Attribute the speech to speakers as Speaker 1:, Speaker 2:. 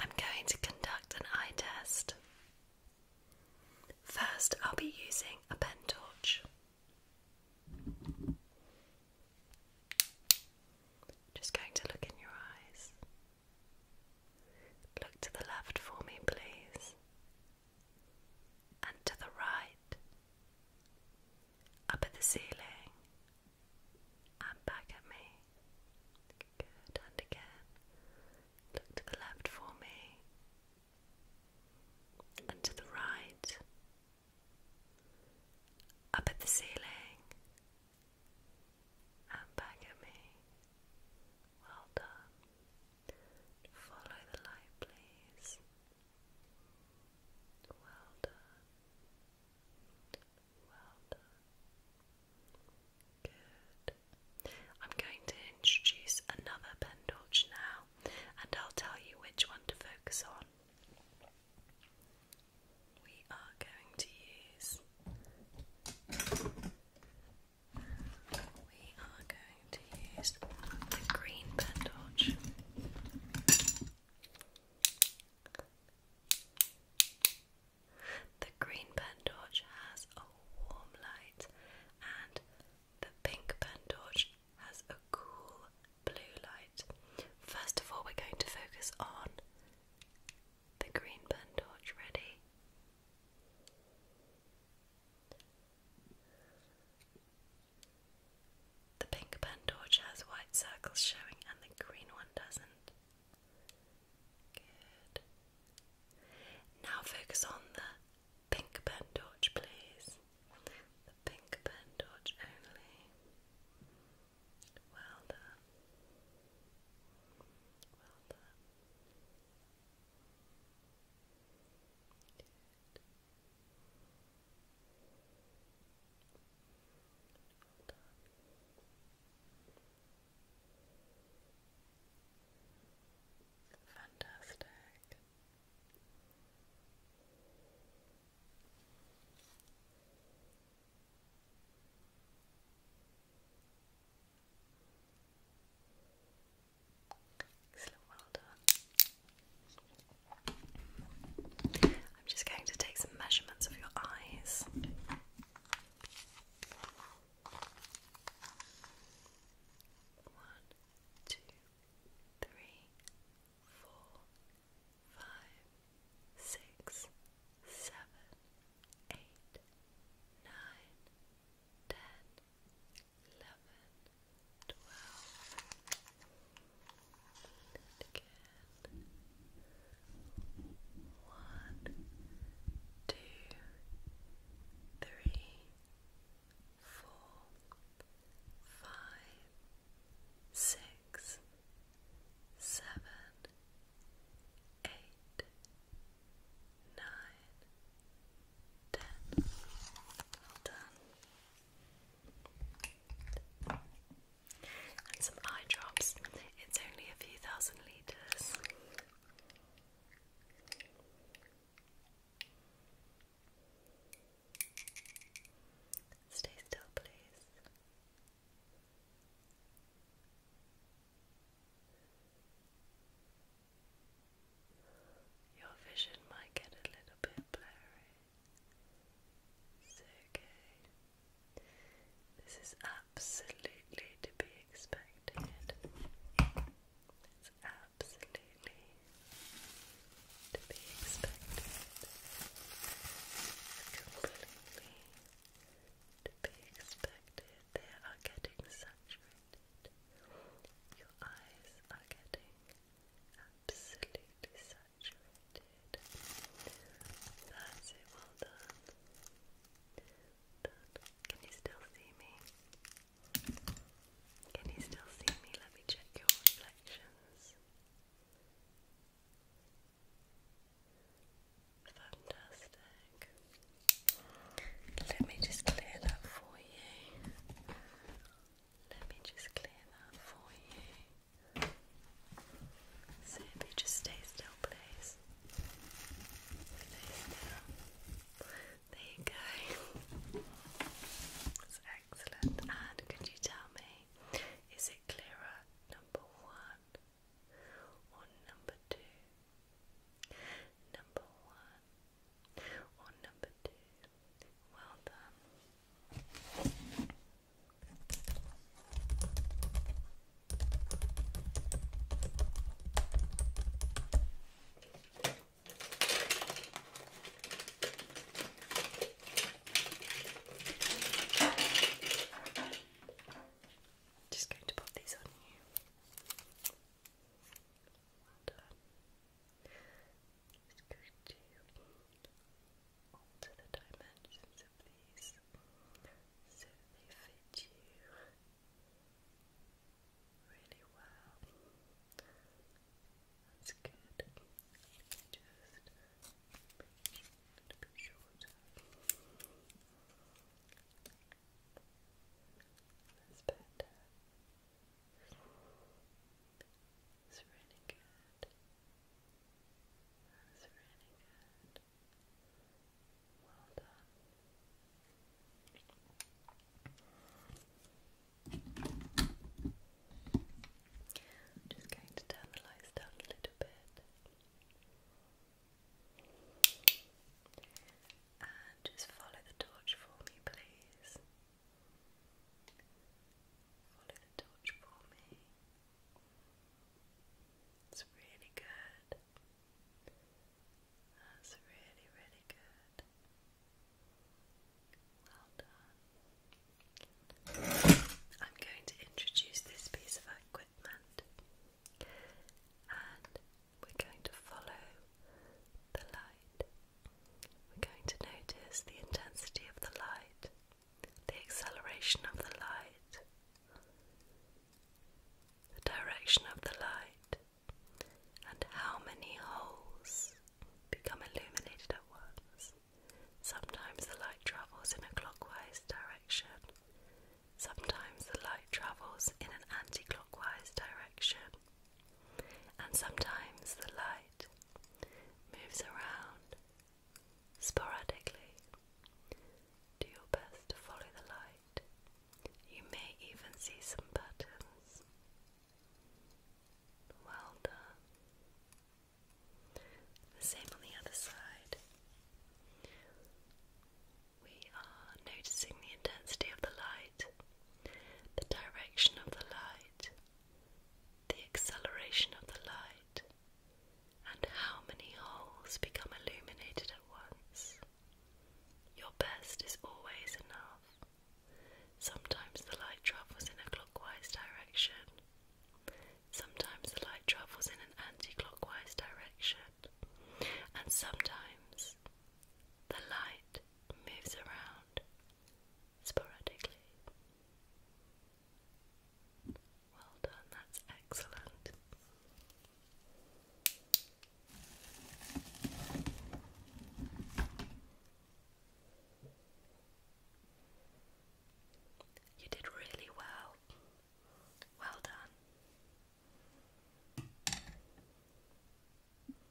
Speaker 1: I'm going to conduct an eye test. First, I'll be using a pen torch. Just going to look in your eyes. Look to the left for me, please, and to the right, up at the ceiling, and back at me. Good, again. Look to the left for me, and to the right, up at the ceiling, and back at me. Well done. Follow the light, please. Well done. Well done. Good. I'm going to introduce another pen pendulch now, and I'll tell you which one to focus on. We are going to use. We are going to use the green pen pendulch. The green pen torch has a warm light, and the pink pen torch has a cool blue light. First of all, we're going to focus on the green pentorch. Ready? The pink pen torch has white circles showing and the green one doesn't. Now focus on the pink pen torch, please. The pink pen torch only. Hold on. Fantastic. Excellent, well I'm just going to take some measurements of your eyes. One, two, three, four, five, six, seven, eight, nine, ten, eleven, twelve, and again. One, two, three, four, five, six, seven, eight, nine, ten. All done some eye drops. It's only a few thousand litres. Stay still, please. Your vision might get a little bit blurry. So good. This is absolutely to be expected. It's absolutely to be expected. Completely to be expected. They are getting saturated. Your eyes are getting absolutely saturated. That's it, well done. Can you still see me? Can you still see me? Let me check your reflections. Fantastic. Let me just clear that for you. Let me just clear that for you. So just stay still, please. There you go. That's excellent. And could you tell me, is it clearer number one or number two? Number one or number two? Well done. Just going to pop these on you is going to alter the dimensions of these so they fit you really well. That's good. Just a little bit That's better. It's really good. That's really good. Well done. just going to turn the lights down a little bit. And just follow the torch for me, please. Follow the torch for me. It's really good. That's really, really good. Well done. I'm going to introduce this piece of equipment and we're going to follow the light. We're going to notice the intensity of the light, the acceleration of the light, the direction of the light, and how many holes become illuminated at once. Sometimes the light travels in a clockwise direction. Sometimes the light travels in an anti clockwise direction and sometimes the light moves around sporadically. Do your best to follow the light. You may even see some patterns. Well done. The same on the other side. We are noticing the intensity of the light, the direction of the light, the acceleration of the light, and how many holes become illuminated at once. Your best is always enough. Sometimes the light travels in a clockwise direction. Sometimes the light travels in an anti clockwise direction. And sometimes the light moves around sporadically. Well done, that's excellent. You did really well. Well done.